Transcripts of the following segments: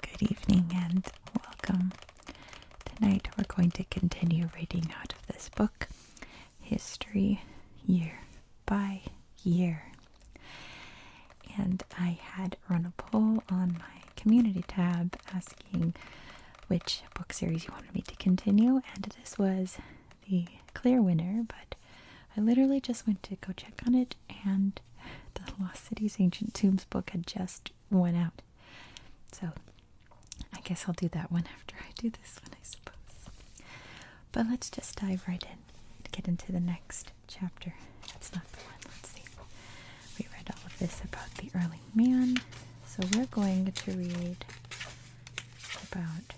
Good evening and welcome. Tonight we're going to continue reading out of this book, History Year by Year. And I had run a poll on my community tab asking which book series you wanted me to continue, and this was the clear winner, but I literally just went to go check on it, and the Lost City's Ancient Tombs book had just went out. So I guess I'll do that one after I do this one, I suppose. But let's just dive right in and get into the next chapter. That's not the one. Let's see. We read all of this about the early man, so we're going to read about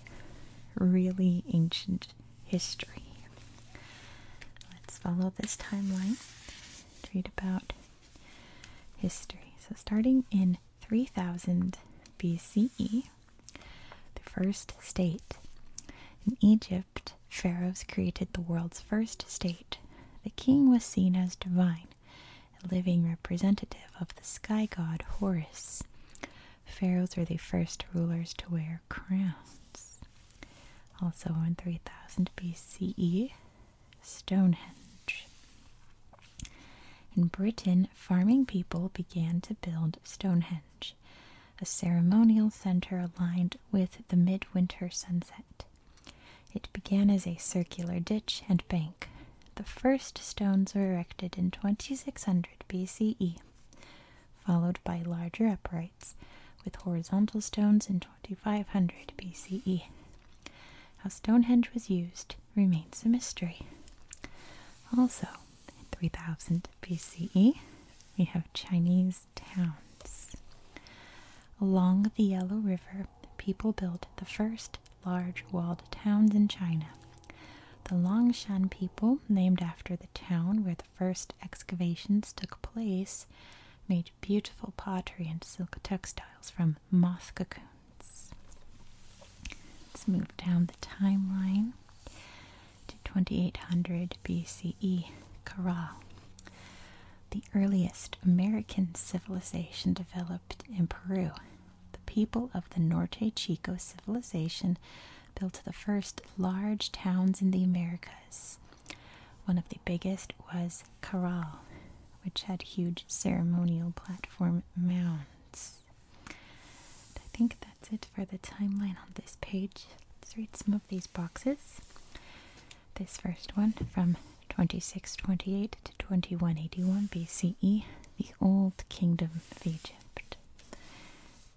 really ancient history. Let's follow this timeline read about history. So, starting in 3000 BCE, the first state. In Egypt, pharaohs created the world's first state. The king was seen as divine living representative of the sky god Horus. Pharaohs were the first rulers to wear crowns. Also in 3000 BCE, Stonehenge. In Britain, farming people began to build Stonehenge, a ceremonial center aligned with the midwinter sunset. It began as a circular ditch and bank. The first stones were erected in 2600 BCE, followed by larger uprights with horizontal stones in 2500 BCE. How Stonehenge was used remains a mystery. Also, in 3000 BCE, we have Chinese towns. Along the Yellow River, people built the first large walled towns in China. The Longshan people, named after the town where the first excavations took place, made beautiful pottery and silk textiles from moth cocoons. Let's move down the timeline to 2800 BCE, Corral. The earliest American civilization developed in Peru the people of the Norte Chico civilization built the first large towns in the Americas. One of the biggest was Corral, which had huge ceremonial platform mounds. I think that's it for the timeline on this page. Let's read some of these boxes. This first one from 2628 to 2181 BCE, the Old Kingdom of Egypt.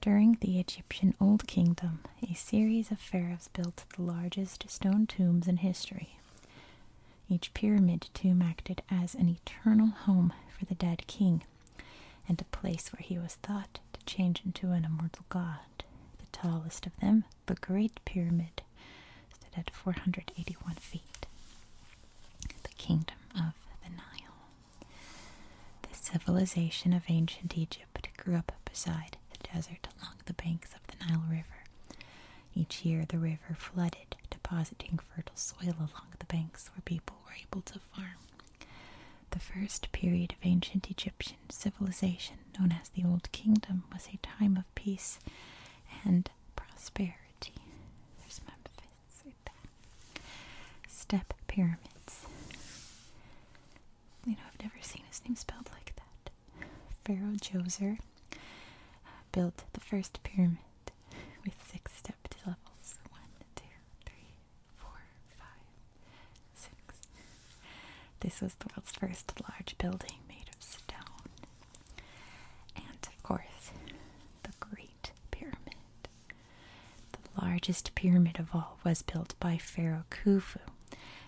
During the Egyptian Old Kingdom, a series of pharaohs built the largest stone tombs in history. Each pyramid tomb acted as an eternal home for the dead king and a place where he was thought to change into an immortal god. The tallest of them, the Great Pyramid, stood at 481 feet. The Kingdom of the Nile. The civilization of ancient Egypt grew up beside the desert along the banks of the Nile River. Each year, the river flooded, depositing fertile soil along the banks where people were able to farm. The first period of ancient Egyptian civilization, known as the Old Kingdom, was a time of peace and prosperity. There's my fists right there. Step pyramids. You know, I've never seen his name spelled like that. Pharaoh Djoser uh, built the first pyramid with six stepped levels. One, two, three, four, five, six. This was the world's first large building made of stone. And of course, the Great Pyramid. The largest pyramid of all was built by Pharaoh Khufu.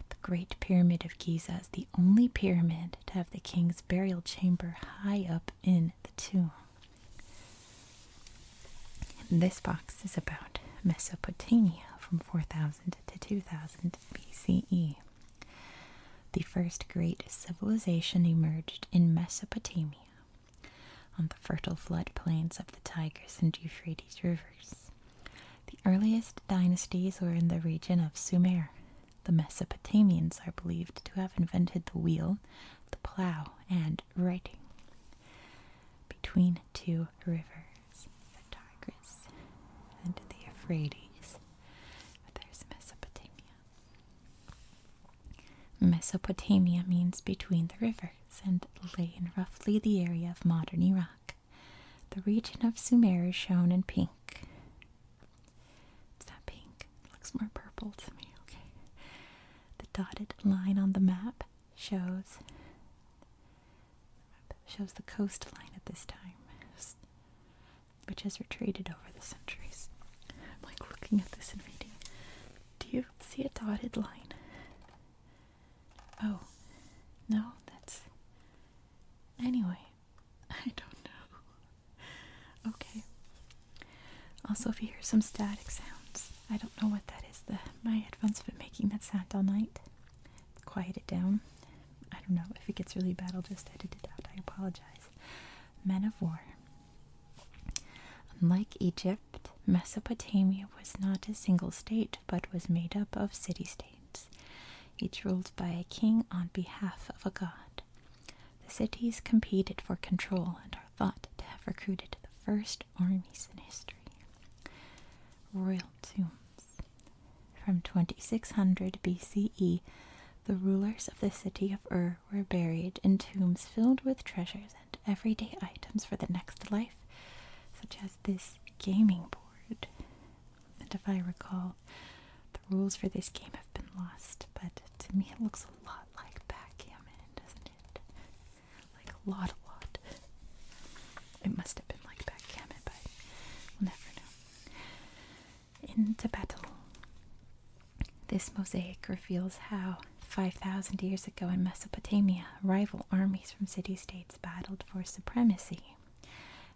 The Great Pyramid of Giza is the only pyramid to have the king's burial chamber high up in the tomb. this box is about Mesopotamia from 4000 to 2000 BCE. The first great civilization emerged in Mesopotamia on the fertile floodplains of the Tigris and Euphrates rivers. The earliest dynasties were in the region of Sumer. The Mesopotamians are believed to have invented the wheel, the plow, and writing. Between two rivers, the Tigris and the Euphrates, there's Mesopotamia. Mesopotamia means between the rivers and lay in roughly the area of modern Iraq. The region of Sumer is shown in pink. It's not pink, it looks more purple to me, okay. The dotted line on the map shows shows the coastline at this time which has retreated over the centuries. I'm like looking at this and reading. Do you see a dotted line? Oh, no, that's. Anyway, I don't know. okay. Also, if you hear some static sounds, I don't know what that is. The my headphones have been making that sound all night. quiet it down. I don't know if it gets really bad. I'll just edit it out. I apologize. Men of war. Unlike Egypt, Mesopotamia was not a single state, but was made up of city-states, each ruled by a king on behalf of a god. The cities competed for control and are thought to have recruited the first armies in history. Royal tombs. From 2600 BCE, the rulers of the city of Ur were buried in tombs filled with treasures and everyday items for the next life, such as this gaming board. And if I recall, the rules for this game have been lost, but to me it looks a lot like backgammon, doesn't it? Like a lot, a lot. It must have been like backgammon, but we'll never know into battle. This mosaic reveals how 5,000 years ago in Mesopotamia, rival armies from city states battled for supremacy.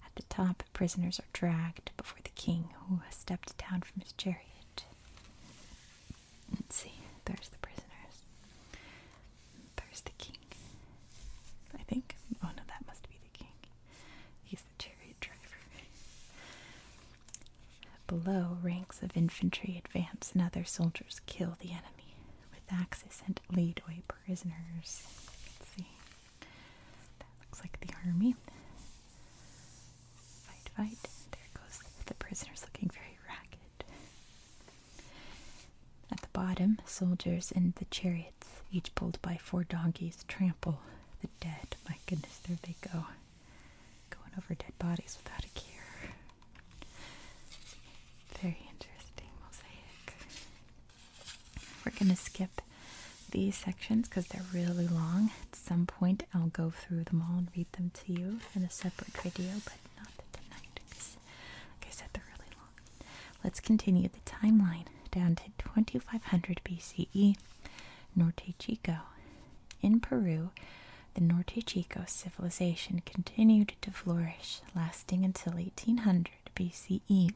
At the top, prisoners are dragged before the king, who has stepped down from his chariot. Let's see, there's the prisoners. There's the king. I think. Oh no, that must be He's the chariot driver. Below, ranks of infantry advance and other soldiers kill the enemy with axes and lead away prisoners. Let's see. That looks like the army. Fight, fight. There goes the prisoners looking very ragged. At the bottom, soldiers and the chariot each pulled by four donkeys, trample the dead. My goodness, there they go. Going over dead bodies without a care. Very interesting mosaic. We're going to skip these sections because they're really long. At some point, I'll go through them all and read them to you in a separate video, but not tonight because, like I said, they're really long. Let's continue the timeline down to 2500 BCE, Norte Chico. In Peru, the Norte Chico civilization continued to flourish, lasting until 1800 BCE.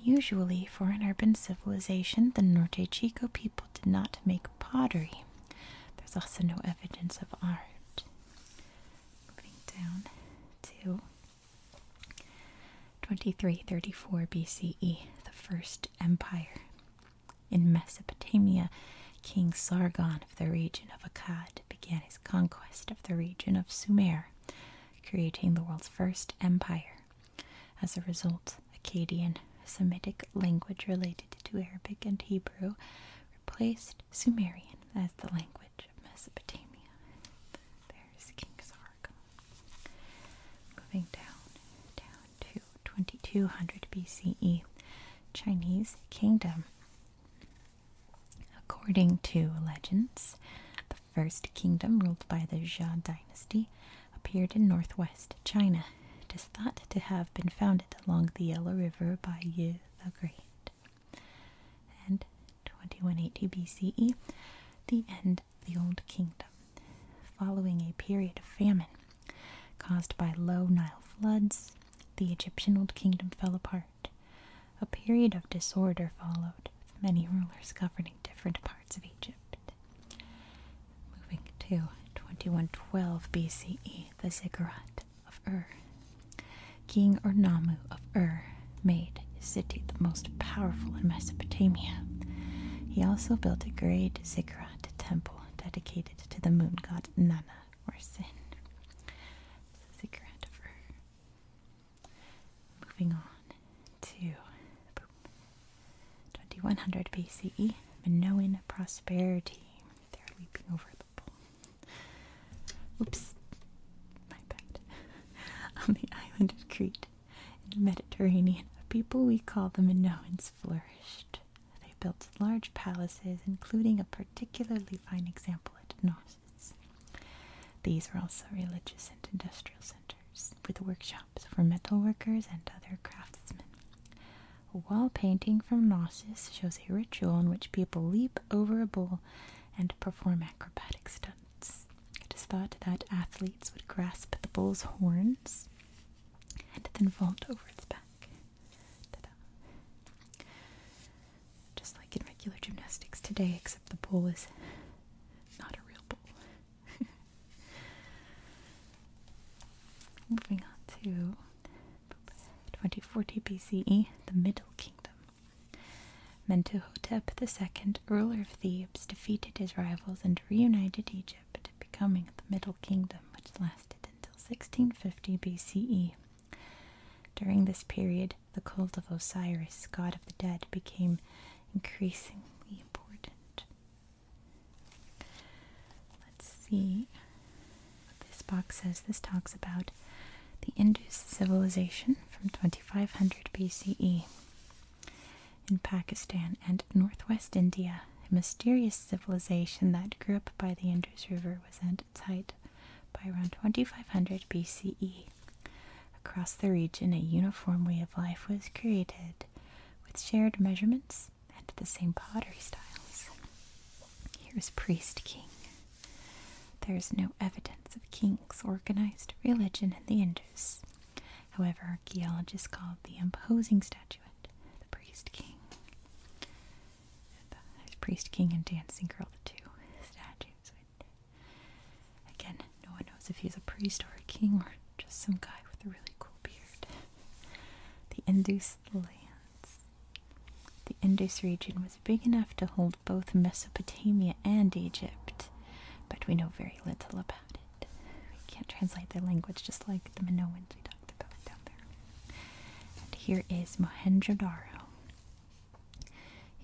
Unusually for an urban civilization, the Norte Chico people did not make pottery. There's also no evidence of art. Moving down to 2334 BCE, the First Empire. In Mesopotamia, King Sargon of the region of Akkad began his conquest of the region of Sumer, creating the world's first empire. As a result, Akkadian, a Semitic language related to Arabic and Hebrew, replaced Sumerian as the language of Mesopotamia. There's King Sargon. Moving down, down to 2200 BCE, Chinese kingdom. According to legends, the first kingdom ruled by the Jia dynasty appeared in northwest China. It is thought to have been founded along the Yellow River by Yu the Great. And 2180 BCE, the end of the Old Kingdom, following a period of famine caused by low Nile floods. The Egyptian Old Kingdom fell apart. A period of disorder followed, with many rulers governing different parts of Egypt. Moving to 2112 BCE, the Ziggurat of Ur. King Ornamu of Ur made his city the most powerful in Mesopotamia. He also built a great ziggurat temple dedicated to the moon god Nanna or Sin. Ziggurat moving on to 2100 BCE, Minoan prosperity. They're leaping over the bowl. Oops, my bad. on the island of Crete in the Mediterranean, a people we call the Minoans flourished. They built large palaces, including a particularly fine example at Knossos. These were also religious and industrial centers, with workshops for metalworkers and other craftsmen. A wall painting from Knossos shows a ritual in which people leap over a bull and perform acrobatic stunts bats. It is thought that athletes would grasp the bull's horns and then vault over its back. Just like in regular gymnastics today, except the bull is not a real bull. Moving on to 2040 BCE, the Middle Kingdom. Mentuhotep II, ruler of Thebes, defeated his rivals and reunited Egypt, becoming the Middle Kingdom, which lasted until 1650 BCE. During this period, the cult of Osiris, god of the dead, became increasingly important. Let's see what this box says. This talks about the Indus civilization from 2500 BCE. In Pakistan and northwest India, a mysterious civilization that grew up by the Indus River was at its height by around 2500 BCE. Across the region, a uniform way of life was created with shared measurements and the same pottery styles. Here is Priest King. There is no evidence of king organized religion in the Indus. However, archaeologists called the imposing statuette the priest king. The priest king and dancing girl, the two Again, no one knows if he's a priest or a king or just some guy with a really cool beard. The Indus lands. The Indus region was was big enough to hold both Mesopotamia and Egypt, but we know very little about it. We can't translate their language just like the Minoans we talked about down there. And here is Mohenjo-Daro.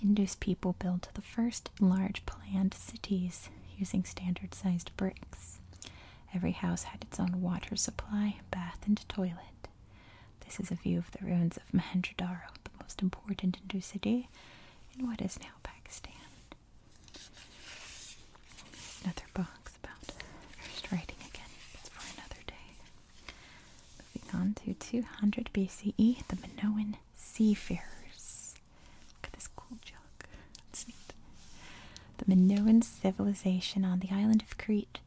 Indus people built the first large planned cities using standard-sized bricks. Every house had its own water supply, bath, and toilet. This is a view of the ruins of Mohenjo-Daro, the most important Hindu city, and what is now Pakistan. Another box about first writing again. for another day. Moving on to 200 BCE, the Minoan seafarers. Look at this cool jug. The Minoan civilization on the island of Crete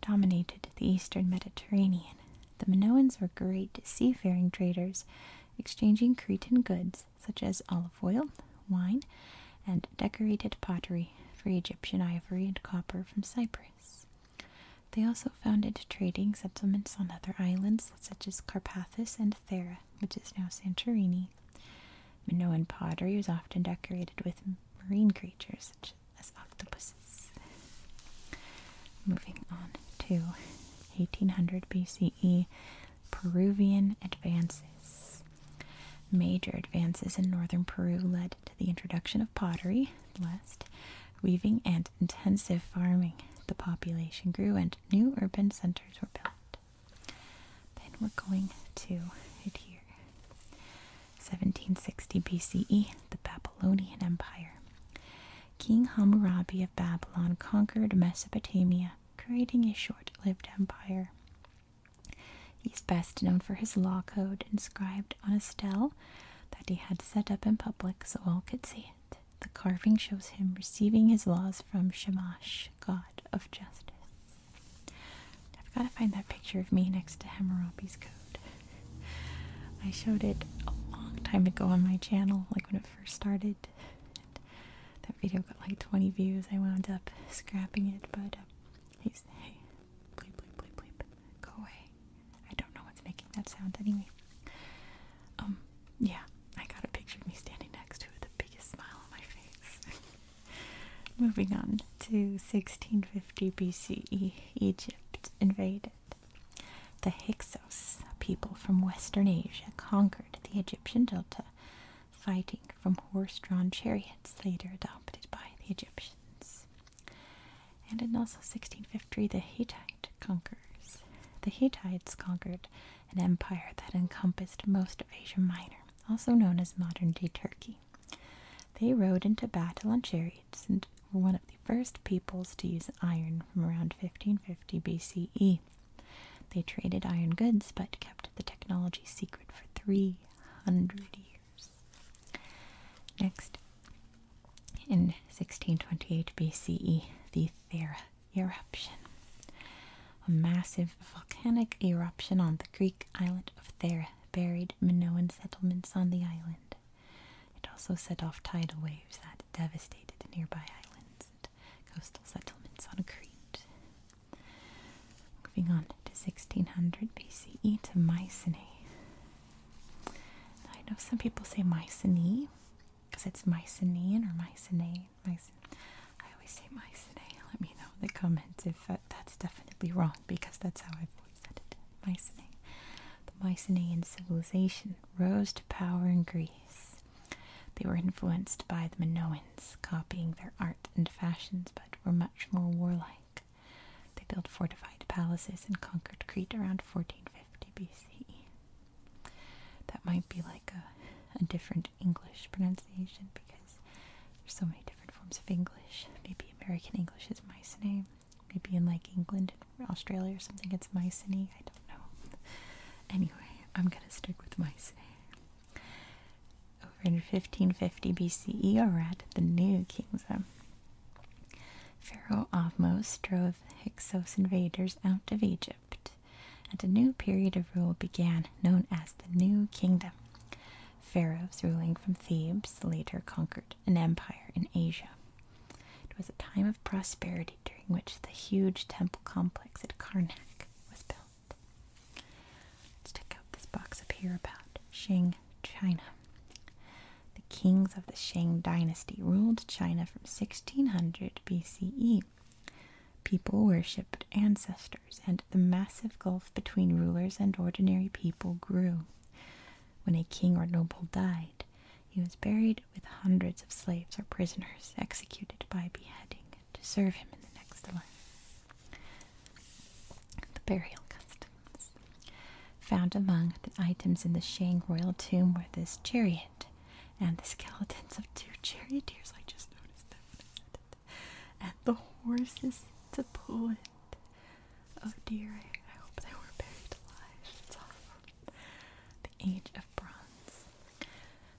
dominated the eastern Mediterranean the Minoans were great seafaring traders, exchanging Cretan goods such as olive oil, wine, and decorated pottery for Egyptian ivory and copper from Cyprus. They also founded trading settlements on other islands such as Carpathus and Thera, which is now Santorini. Minoan pottery was often decorated with marine creatures such as octopus Moving on to 1800 BCE Peruvian advances. Major advances in northern Peru led to the introduction of pottery, lest weaving, and intensive farming. The population grew and new urban centers were built. Then we're going to it here. 1760 BCE, the Babylonian Empire. King Hammurabi of Babylon conquered Mesopotamia, creating a short lived empire. He's best known for his law code inscribed on a stele that he had set up in public so all could see it. The carving shows him receiving his laws from Shamash, god of justice. I've got to find that picture of me next to Hammurabi's code. I showed it a long time ago on my channel, like when it first started. that video got like 20 views. I wound up scrapping it, but uh, he's hey, bleep, bleep, bleep, bleep, go away. I don't know what's making that sound anyway. Um, yeah, I got a picture of me standing next to it the biggest smile on my face. Moving on to 1650 BCE, Egypt invaded the Hyksos, people from Western Asia, conquered the Egyptian delta, fighting from horse drawn chariots later adopted by the Egyptians. And in also 1650, the Hittite conquers. The Hittites conquered an empire that encompassed most of Asia Minor, also known as modern day Turkey. They rode into battle on chariots and were one of the first peoples to use iron from around 1550 BCE. They traded iron goods but kept the technology secret for 300 years. Next, in 1628 BCE, the Thera eruption. A massive volcanic eruption on the Greek island of Thera buried Minoan settlements on the island. It also set off tidal waves that devastated nearby islands and coastal settlements on Crete. Moving on to 1600 BCE to Mycenae. I know some people say Mycenae because it's Mycenaean or Mycenae. Mycenae. I always say Mycenae. Let me know in the comments if that's definitely wrong because that's how I've always said it. Mycenae. The Mycenaean civilization rose to power in Greece. They were influenced by the Minoans, copying their art and fashions, but were much more warlike. They built fortified palaces and conquered Crete around 1450 B.C. That might be like a, a different English pronunciation because there's so many different forms of English. Maybe American English is my name maybe in like England and Australia or something it's mycenae. I don't know. Anyway, I'm gonna stick with mycenae. Over in 1550 BCE, or at the New Kingdom, Pharaoh Ahmose drove Hyksos invaders out of Egypt, and a new period of rule began known as the New Kingdom. Pharaohs ruling from Thebes later conquered an empire in Asia. It was a time of prosperity during which the huge temple complex at Karnak was built. Let's check out this box up here about Shang China. The kings of the Shang dynasty ruled China from 1600 BCE. People worshipped ancestors, and the massive gulf between rulers and ordinary people grew. When a king or noble died, he was buried with hundreds of slaves or prisoners executed by beheading to serve him in the next life. The burial customs. Found among the items in the Shang royal tomb were this chariot and the skeletons of two charioteers. I just noticed that. And the horses to pull it. Oh dear, I hope they were buried alive. It's awful. The Age of Bronze.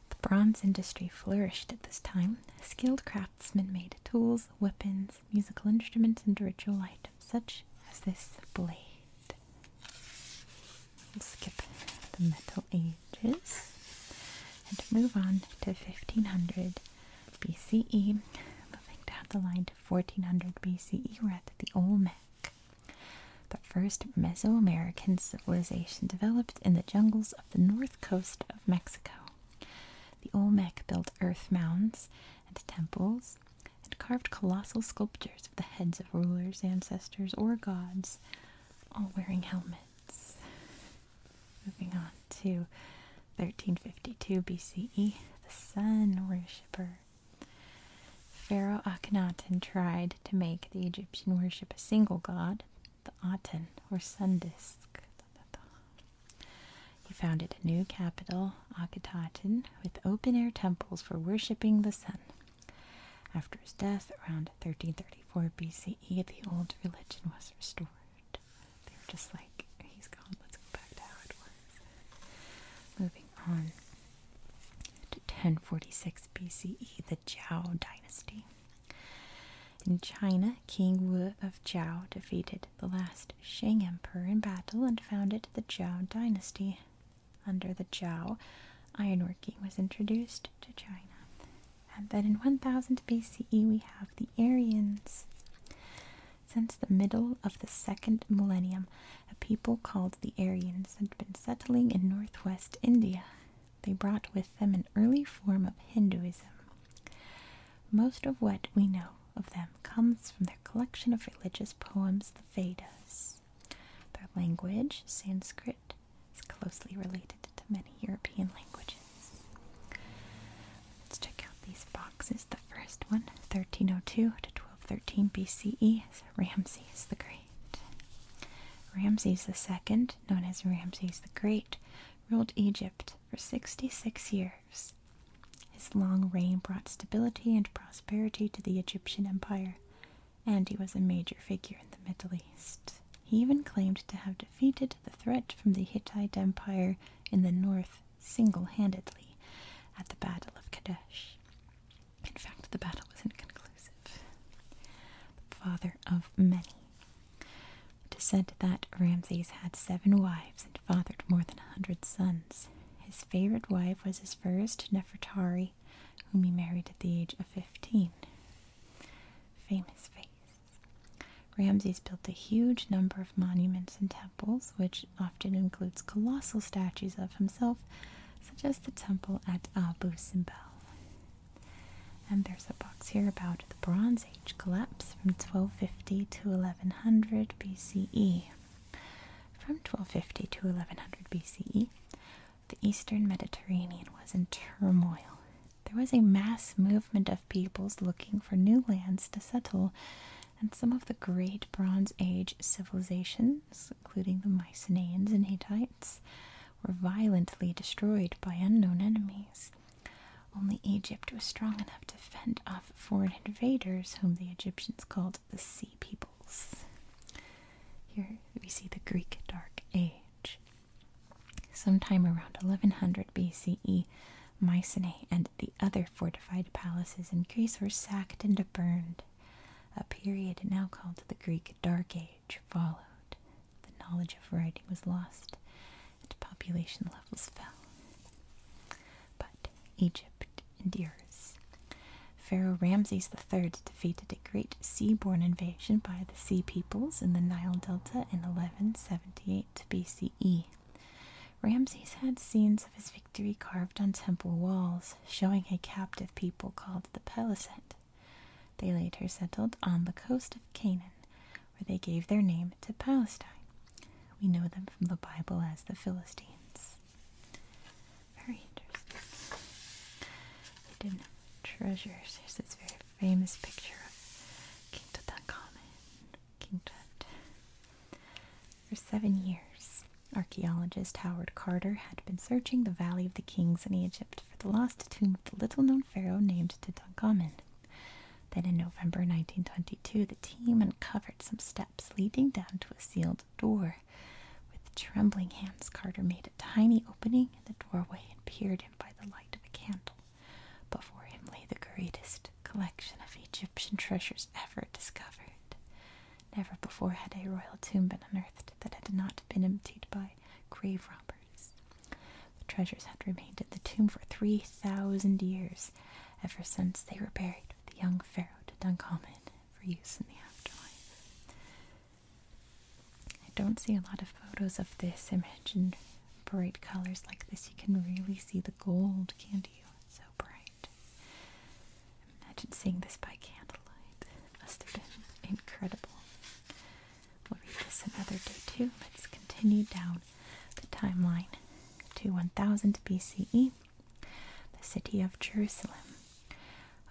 The bronze industry flourished at this time. Skilled craftsmen made tools, weapons, musical instruments, and ritual items, such as this blade. We'll skip the Metal Ages and move on to 1500 BCE. Moving down the line to 1400 BCE, we're at the Olmec the first Mesoamerican civilization developed in the jungles of the north coast of Mexico. The Olmec built earth mounds and temples and carved colossal sculptures of the heads of rulers, ancestors, or gods, all wearing helmets. Moving on to 1352 BCE, the sun worshipper. Pharaoh Akhenaten tried to make the Egyptian worship a single god, the Aten or sun disk. He founded a new capital, Akhetaten, with open air temples for worshipping the sun. After his death, around 1334 BCE, the old religion was restored. They were just like, he's gone, let's go back to how it was. Moving on to 1046 BCE, the Zhao dynasty. In China, King Wu of Zhao defeated the last Shang emperor in battle and founded the Zhao dynasty. Under the Zhao, ironworking was introduced to China. And then in 1000 BCE, we have the Aryans. Since the middle of the second millennium, a people called the Aryans had been settling in northwest India. They brought with them an early form of Hinduism. Most of what we know of them comes from their collection of religious poems, the Vedas. Their language, Sanskrit, is closely related to many European languages. Let's check out these boxes. The first one, 1302 to Thirteen BCE Ramses the Great. Ramses II, known as Ramses the Great, ruled Egypt for 66 years. His long reign brought stability and prosperity to the Egyptian empire, and he was a major figure in the Middle East. He even claimed to have defeated the threat from the Hittite Empire in the north single-handedly at the Battle of Kadesh. In fact, the battle was inconclusive. The father of many. It is said that Ramses had seven wives and fathered more than a hundred sons. His favorite wife was his first, Nefertari, whom he married at the age of fifteen. Famous face. Ramses built a huge number of monuments and temples, which often includes colossal statues of himself, such as the temple at Abu Simbel. And there's a box here about the Bronze Age collapse from 1250 to 1100 BCE. From 1250 to 1100 BCE, the eastern Mediterranean was in turmoil. There was a mass movement of peoples looking for new lands to settle and some of the great Bronze Age civilizations, including the Mycenaeans and Hittites, were violently destroyed by unknown enemies. Only Egypt was strong enough to fend off foreign invaders, whom the Egyptians called the Sea Peoples. Here we see the Greek Dark Age. Sometime around 1100 BCE, Mycenae and the other fortified palaces in Greece were sacked and burned. A period now called the Greek Dark Age followed. The knowledge of writing was lost and population levels fell. But Egypt endures. Pharaoh Ramses III defeated a great seaborne invasion by the Sea Peoples in the Nile Delta in 1178 BCE. Ramses had scenes of his victory carved on temple walls, showing a captive people called the Peliset. They later settled on the coast of Canaan, where they gave their name to Palestine. We know them from the Bible as the Philistines. Very interesting. Hidden treasures. Here's this very famous picture of King Tutankhamen. King Tut. For seven years, archaeologist Howard Carter had been searching the Valley of the Kings in Egypt for the lost tomb of the little known pharaoh named Tutankhamen. Then in November 1922, the team uncovered some steps leading down to a sealed door. With trembling hands, Carter made a tiny opening in the doorway and peered in by the light of a candle. Before him lay the greatest collection of Egyptian Egyptian treasures ever discovered. Never before had a royal tomb been unearthed that had not been emptied by grave robbers. The treasures had remained in the tomb for 3,000 years, ever since they were buried with the young pharaoh to Duncommon for use in the afterlife. I don't see a lot of photos of this image in bright colors like this. You can really see the gold, can't you? It's so bright night. Imagine seeing this by candlelight. must have been incredible. We'll read this another day too. Let's continue down the timeline to 1000 BCE, the city of Jerusalem.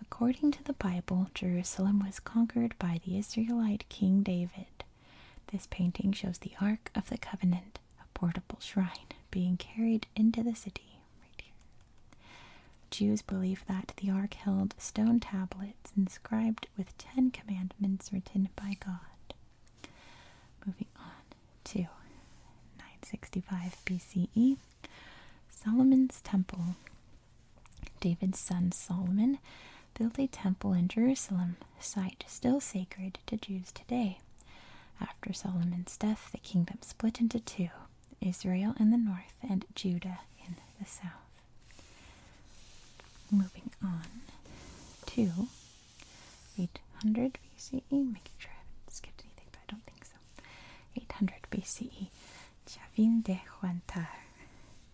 According to the Bible, Jerusalem was conquered by the Israelite King David. This painting shows the Ark of the Covenant, a portable shrine being carried into the city. Jews believe that the ark held stone tablets inscribed with ten commandments written by God. Moving on to 965 BCE, Solomon's Temple. David's son Solomon built a temple in Jerusalem, site still sacred to Jews today. After Solomon's death, the kingdom split into two Israel in the north and Judah in the south. Moving on to 800 BCE, making sure I haven't skipped anything, but I don't think so. 800 BCE, Chavin de Huantar.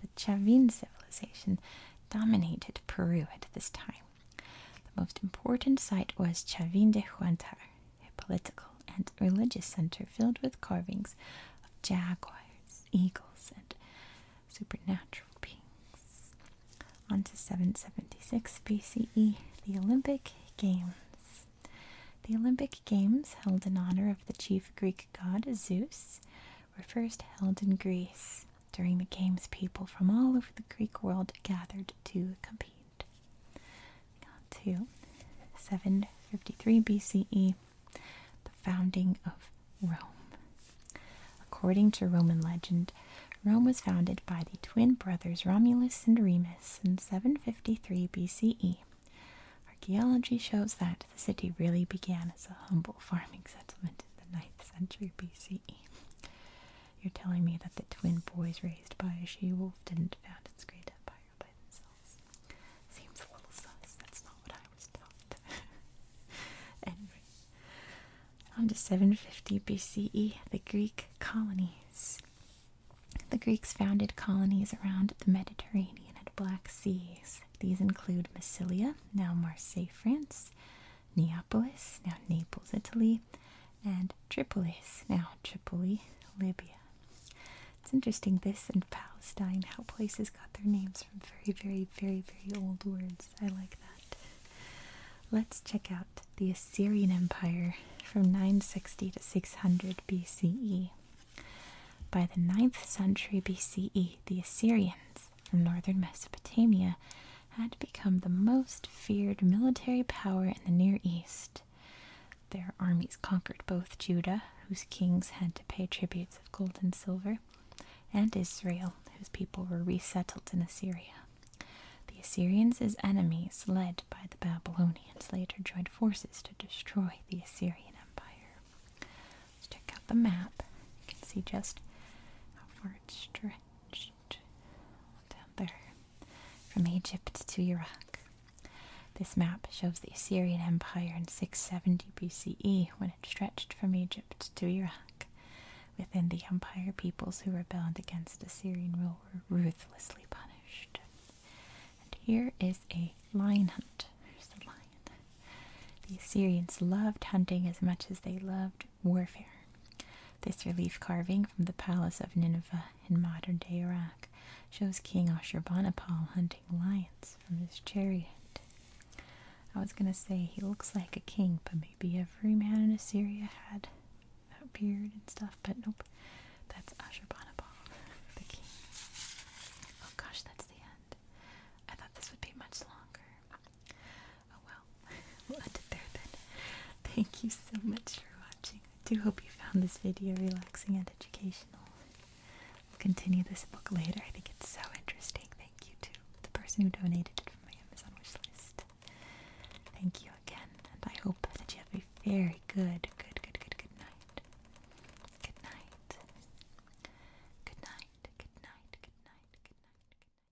The Chavin civilization dominated Peru at this time. The most important site was Chavín de Huántar, a political and religious center filled with carvings of jaguars, eagles, and supernatural beings. On to 776 BCE, the Olympic Games. The Olympic Games, held in honor of the chief Greek god Zeus, were first held in Greece. During the games, people from all over the Greek world gathered to compete. To 753 BCE, the founding of Rome. According to Roman legend, Rome was founded by the twin brothers Romulus and Remus in 753 BCE. Archaeology shows that the city really began as a humble farming settlement in the 9th century BCE. You're telling me that the twin boys raised by a she-wolf didn't found its great empire by themselves. Seems a little sus. That's not what I was taught. anyway, on to 750 BCE, the Greek colonies. The Greeks founded colonies around the Mediterranean and Black Seas. These include Massilia, now Marseille, France, Neapolis, now Naples, Italy, and Tripolis, now Tripoli, Libya. It's interesting this and Palestine, how places got their names from very, very, very, very old words. I like that. Let's check out the Assyrian Empire from 960 to 600 BCE. By the 9th century BCE, the Assyrians from northern Mesopotamia had become the most feared military power in the Near East. Their armies conquered both Judah, whose kings had to pay tributes of gold and silver, and Israel, whose people were resettled in Assyria. The Assyrians as enemies, led by the Babylonians, later joined forces to destroy the Assyrian Empire. Let's check out the map. You can see just how far it stretched down there from Egypt to Iraq. This map shows the Assyrian Empire in 670 BCE when it stretched from Egypt to Iraq. Within the empire, peoples who rebelled against Assyrian rule were ruthlessly punished. And here is a lion hunt. There's the lion. The Assyrians loved hunting as much as they loved warfare. This relief carving from the palace of Nineveh in modern day Iraq shows King Ashurbanipal hunting lions from his chariot. I was going to say he looks like a king, but maybe every man in Assyria had a beard and stuff, but nope. That's Ashurbanipal, the king. Oh gosh, that's the end. I thought this would be much longer. Oh well, we'll end it there then. Thank you so much for watching. I do hope you found this video relaxing and educational. We'll continue this book later. I think it's so interesting. Thank you to the person who donated it from my Amazon wish list. Thank you again, and I hope that you have a very good, good, good, good, good night. Good night. Good night. Good night. Good night. Good night. Good night.